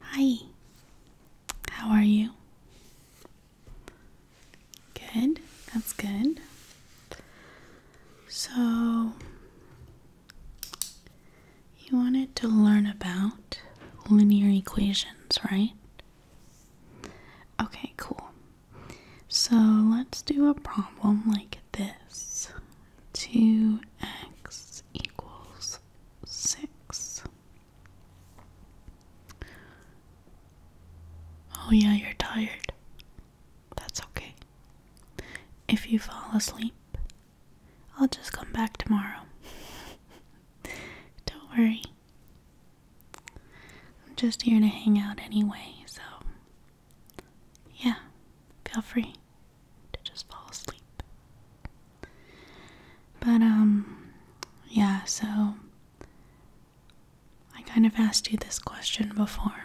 Hi, how are you? Good, that's good. So, you wanted to learn about linear equations, right? Okay, cool. So, let's do a problem like this 2x equals 6 Oh, yeah, you're tired. That's okay. If you fall asleep, I'll just come back tomorrow. Don't worry. I'm just here to hang out anyway, so yeah, feel free to just fall asleep. But, um, yeah, so I kind of asked you this question before.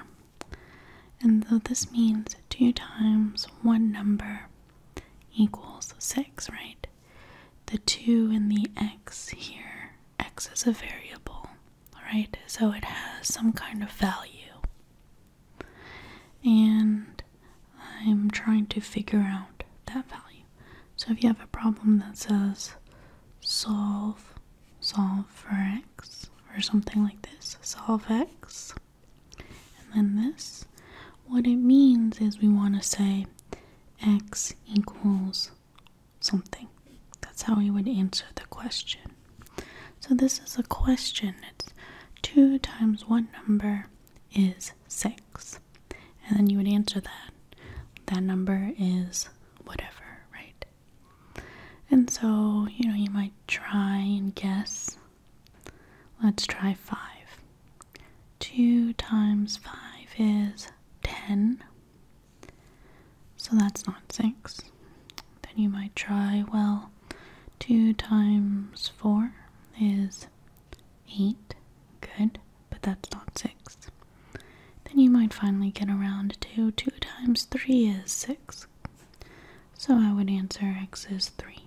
And so this means 2 times one number equals 6, right? The 2 and the x here, x is a variable, right? So it has some kind of value. And I'm trying to figure out that value. So if you have a problem that says solve, solve for x, or something like this, solve x, and then this, what it means is we want to say x equals something. That's how we would answer the question. So this is a question. It's 2 times one number is 6. And then you would answer that. That number is whatever, right? And so, you know, you might try and guess. Let's try 5. 2 times 5 is 10. So that's not 6. Then you might try, well, 2 times 4 is eight. Good, but that's not six. Then you might finally get around to two times three is six. So I would answer x is three.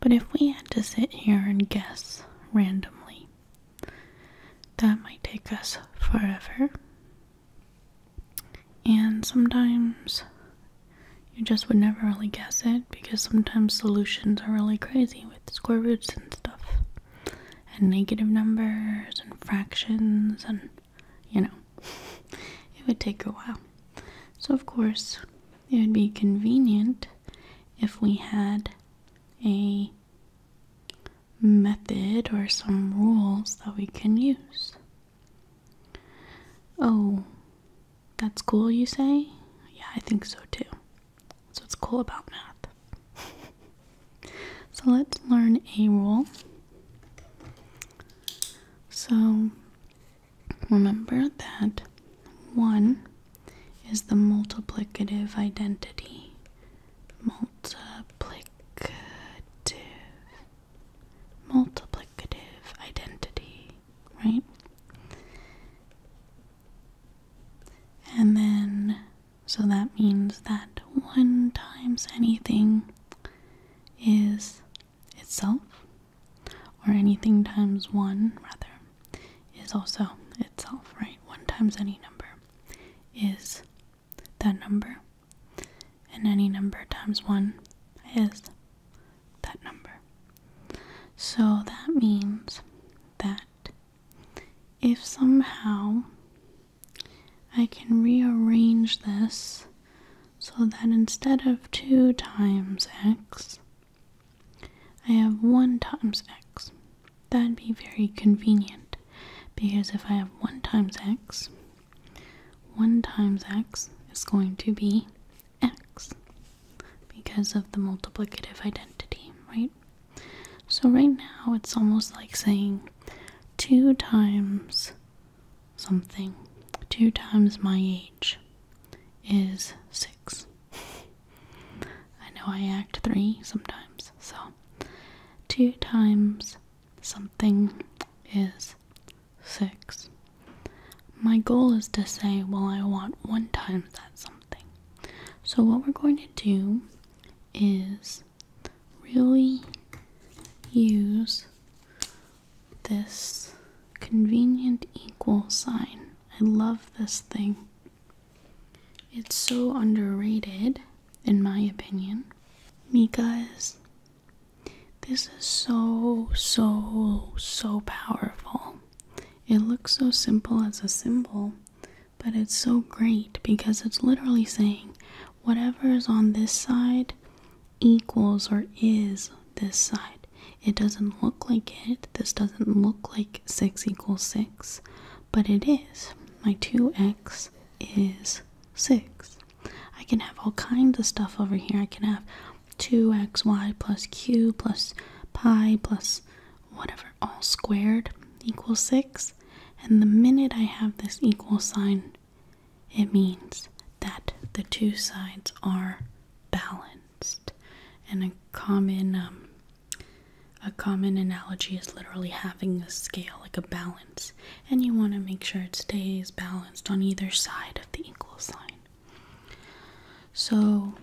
But if we had to sit here and guess randomly, that might take us forever. And sometimes you just would never really guess it because sometimes solutions are really crazy with square roots and stuff, and negative numbers and fractions, and you know, it would take a while. So, of course, it would be convenient if we had a method or some rules that we can use. Oh, that's cool, you say? Yeah, I think so too. So it's cool about math. so let's learn a rule. So remember that 1 is the multiplicative identity. Multiplicative. Multiplicative identity right? And then, so that means that 1 times anything is itself, or anything times 1, rather, is also itself, right? 1 times any number is that number, and any number times 1 is that number. So that means that if somehow I can rearrange this so that instead of 2 times x, I have 1 times x. That'd be very convenient because if I have 1 times x, 1 times x is going to be x because of the multiplicative identity, right? So right now it's almost like saying 2 times something, 2 times my age is 6. I know I act 3 sometimes, so 2 times something is 6. My goal is to say, well, I want one times that something. So, what we're going to do is really use this convenient equal sign. I love this thing. It's so underrated, in my opinion, because this is so, so, so powerful it looks so simple as a symbol, but it's so great because it's literally saying whatever is on this side equals or is this side. It doesn't look like it. This doesn't look like 6 equals 6, but it is. My 2x is 6. I can have all kinds of stuff over here. I can have 2xy plus q plus pi plus whatever, all squared equals 6. And the minute I have this equal sign, it means that the two sides are balanced. And a common um, a common analogy is literally having a scale, like a balance, and you want to make sure it stays balanced on either side of the equal sign. So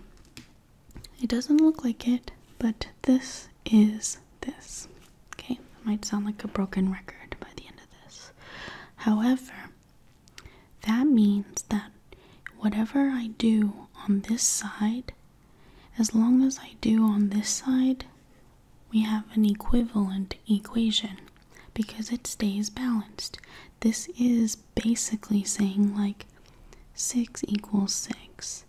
it doesn't look like it, but this is this. Okay, it might sound like a broken record by the end of this. However, that means that whatever I do on this side, as long as I do on this side, we have an equivalent equation because it stays balanced. This is basically saying like 6 equals 6.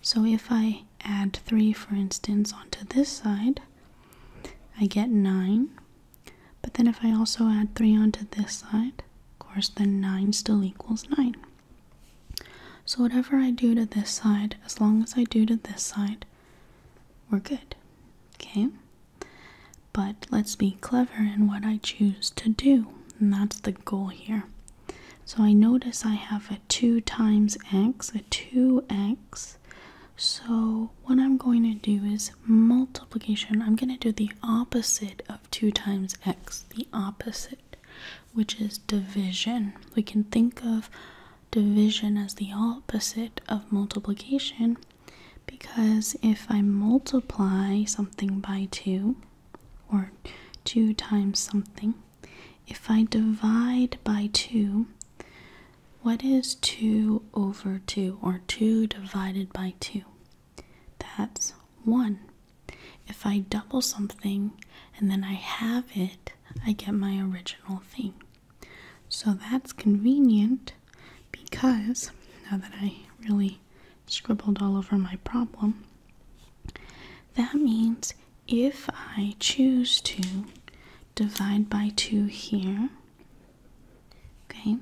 So if I add 3, for instance, onto this side, I get 9. But then if I also add 3 onto this side, of course, then 9 still equals 9. So whatever I do to this side, as long as I do to this side, we're good. Okay? But let's be clever in what I choose to do, and that's the goal here. So I notice I have a 2 times x, a 2x. So what I'm going to do is multiplication. I'm going to do the opposite of 2 times x, the opposite, which is division. We can think of division as the opposite of multiplication because if I multiply something by 2 or 2 times something, if I divide by 2, what is 2 over 2 or 2 divided by 2? That's 1. If I double something and then I have it, I get my original thing. So that's convenient because now that I really scribbled all over my problem, that means if I choose to divide by 2 here, okay,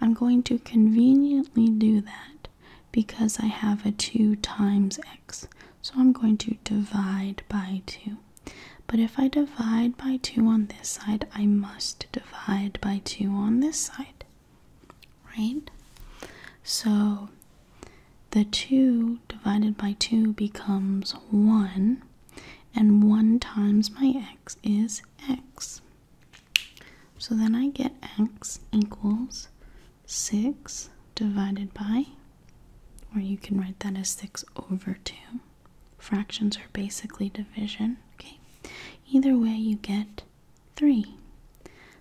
I'm going to conveniently do that because I have a 2 times x. So I'm going to divide by 2. But if I divide by 2 on this side, I must divide by 2 on this side, right? So the 2 divided by 2 becomes 1, and 1 times my x is x. So then I get x equals 6 divided by, or you can write that as 6 over 2. Fractions are basically division. Okay, either way you get 3.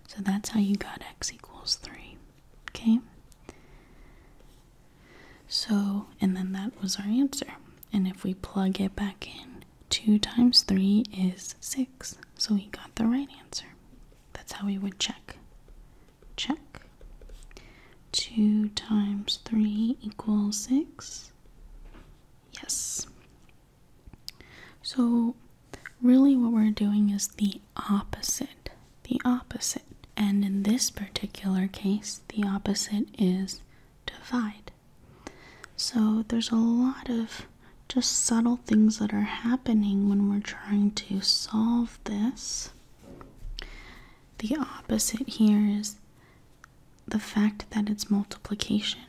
So that's how you got x equals 3. Okay? So, and then that was our answer. And if we plug it back in, 2 times 3 is 6. So we got the right answer. That's how we would check. Check. 2 times 3 equals 6. Yes. So, really, what we're doing is the opposite. The opposite. And in this particular case, the opposite is divide. So, there's a lot of just subtle things that are happening when we're trying to solve this. The opposite here is the fact that it's multiplication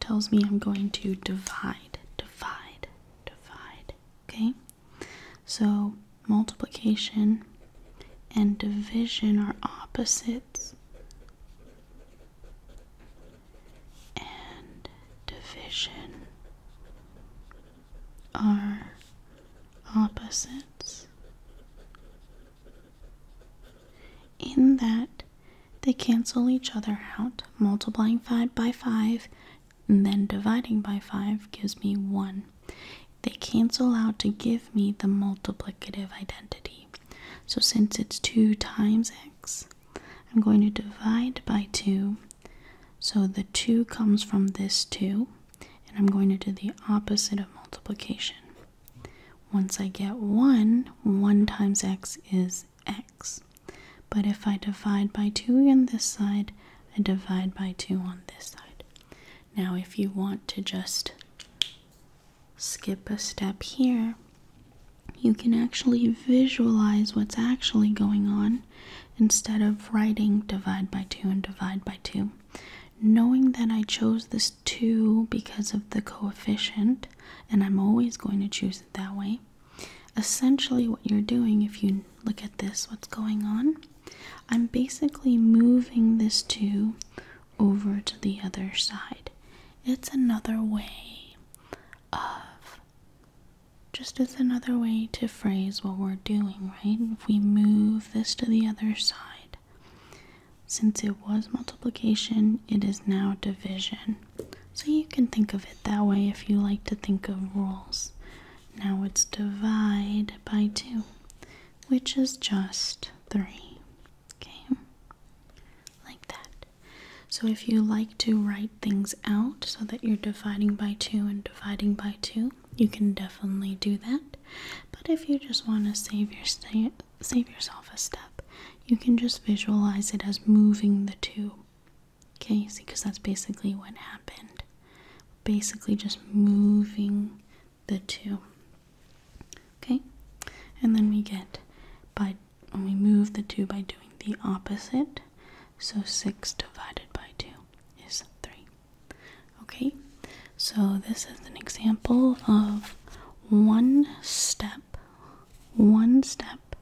tells me I'm going to divide, divide, divide. Okay? So multiplication and division are opposites. And division are opposites. In that they cancel each other out. Multiplying 5 by 5 and then dividing by 5 gives me 1. They cancel out to give me the multiplicative identity. So since it's 2 times x, I'm going to divide by 2. So the 2 comes from this 2, and I'm going to do the opposite of multiplication. Once I get 1, 1 times x is x. But if I divide by 2 on this side, I divide by 2 on this side. Now if you want to just skip a step here, you can actually visualize what's actually going on instead of writing divide by 2 and divide by 2. Knowing that I chose this. 2 because of the coefficient, and I'm always going to choose it that way. Essentially, what you're doing, if you look at this, what's going on? I'm basically moving this 2 over to the other side. It's another way of just as another way to phrase what we're doing, right? If we move this to the other side, since it was multiplication, it is now division. So you can think of it that way if you like to think of rules. Now it's divide by 2, which is just 3. Okay? Like that. So if you like to write things out so that you're dividing by 2 and dividing by 2, you can definitely do that. But if you just want to save your state save yourself a step. You can just visualize it as moving the two. Okay, because that's basically what happened. Basically, just moving the two. Okay, and then we get by when we move the two by doing the opposite. So 6 divided by 2 is 3. Okay, so this is an example of one step, one step,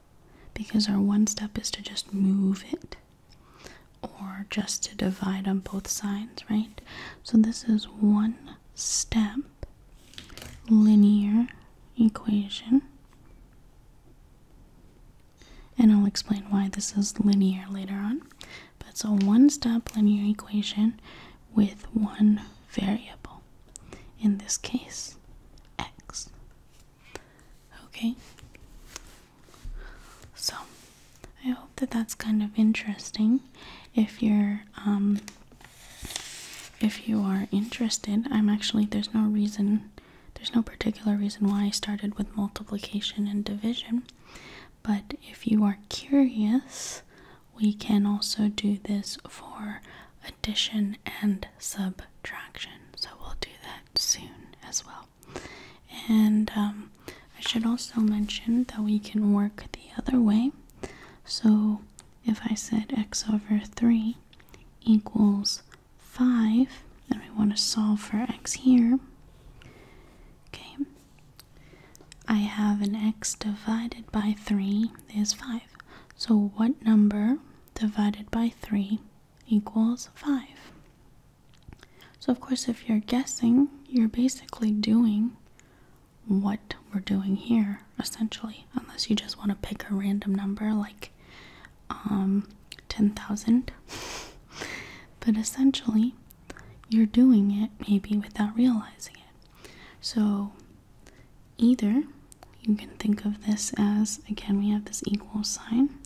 because our one step is to just move it or just to divide on both sides, right? So this is one step linear equation. And I'll explain why this is linear later on. But it's a one step linear equation with one variable. In this case, x. Okay? So, I hope that that's kind of interesting. If you're, um, if you are interested, I'm actually, there's no reason, there's no particular reason why I started with multiplication and division. But if you are curious we can also do this for addition and subtraction. So we'll do that soon as well. And um, I should also mention that we can work the other way. So if I said x over 3 equals 5, and we want to solve for x here, okay, I have an x divided by 3 is 5. So what number divided by 3 equals 5? So of course if you're guessing, you're basically doing what we're doing here essentially, unless you just want to pick a random number like um, 10,000. but essentially, you're doing it maybe without realizing it. So Either you can think of this as, again, we have this equal sign.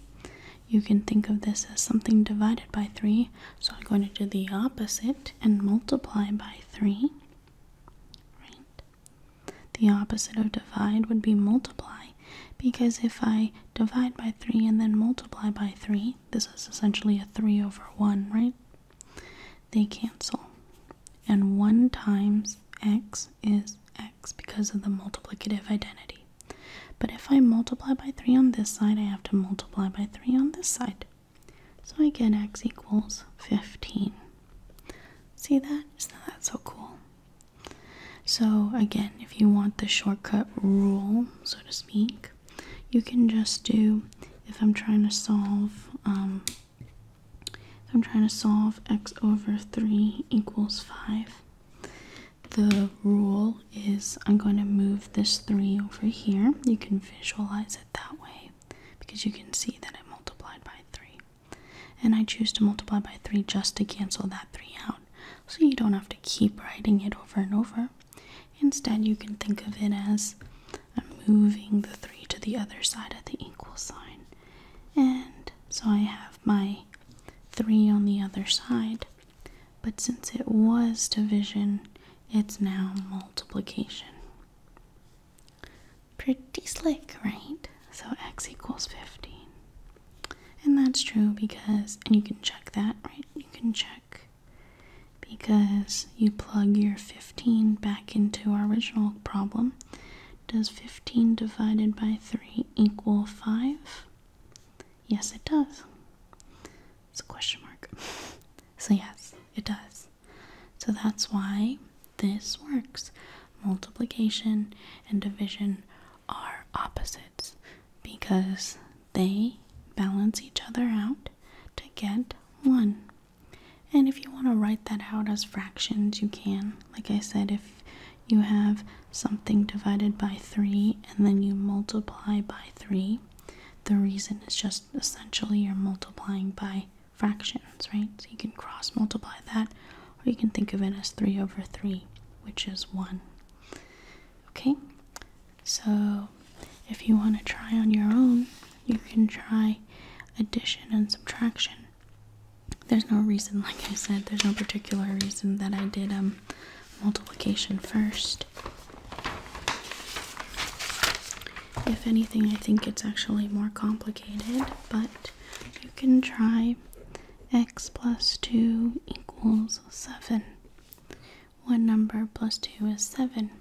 You can think of this as something divided by 3, so I'm going to do the opposite and multiply by 3. Right? The opposite of divide would be multiply, because if I divide by 3 and then multiply by 3, this is essentially a 3 over 1, right? they cancel. And 1 times x is x because of the multiplicative identity. But if I multiply by 3 on this side, I have to multiply by 3 on this side. So I get x equals 15. See that? Isn't that so cool? So again, if you want the shortcut rule, so to speak, you can just do if I'm trying to solve, um, if I'm trying to solve x over 3 equals 5, the rule is I'm going to move this 3 over here. You can visualize it that way because you can see that I multiplied by 3. And I choose to multiply by 3 just to cancel that 3 out. So you don't have to keep writing it over and over. Instead, you can think of it as I'm moving the 3 to the other side of the equal sign. And so I have my 3 on the other side. But since it was division, it's now multiplication. Pretty slick, right? So x equals 15. And that's true because, and you can check that, right? You can check because you plug your 15 back into our original problem. Does 15 divided by 3 equal 5? Yes, it does. It's a question mark. So, yes, it does. So, that's why this works. Multiplication and division are opposites because they balance each other out to get 1. And if you want to write that out as fractions, you can. Like I said, if you have something divided by 3 and then you multiply by 3, the reason is just essentially you're multiplying by fractions, right? So you can cross multiply that, or you can think of it as 3 over 3, which is 1. Okay, so if you want to try on your own, you can try addition and subtraction. There's no reason, like I said, there's no particular reason that I did um, multiplication first. If anything, I think it's actually more complicated, but you can try x plus 2 equals 7. One number plus 2 is 7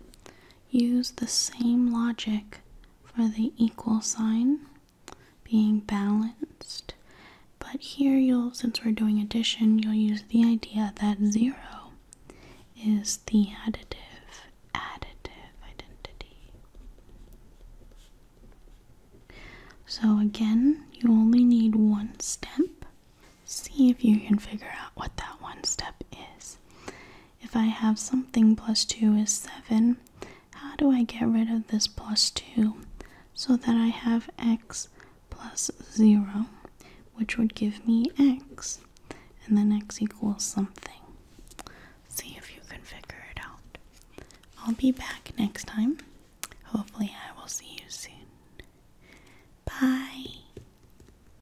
use the same logic for the equal sign being balanced. But here you'll since we're doing addition, you'll use the idea that 0 is the additive additive identity. So again, you only need one step. See if you can figure out what that one step is. If I have something plus 2 is 7, how do I get rid of this plus 2 so that I have x plus 0, which would give me x, and then x equals something? See if you can figure it out. I'll be back next time. Hopefully, I will see you soon. Bye.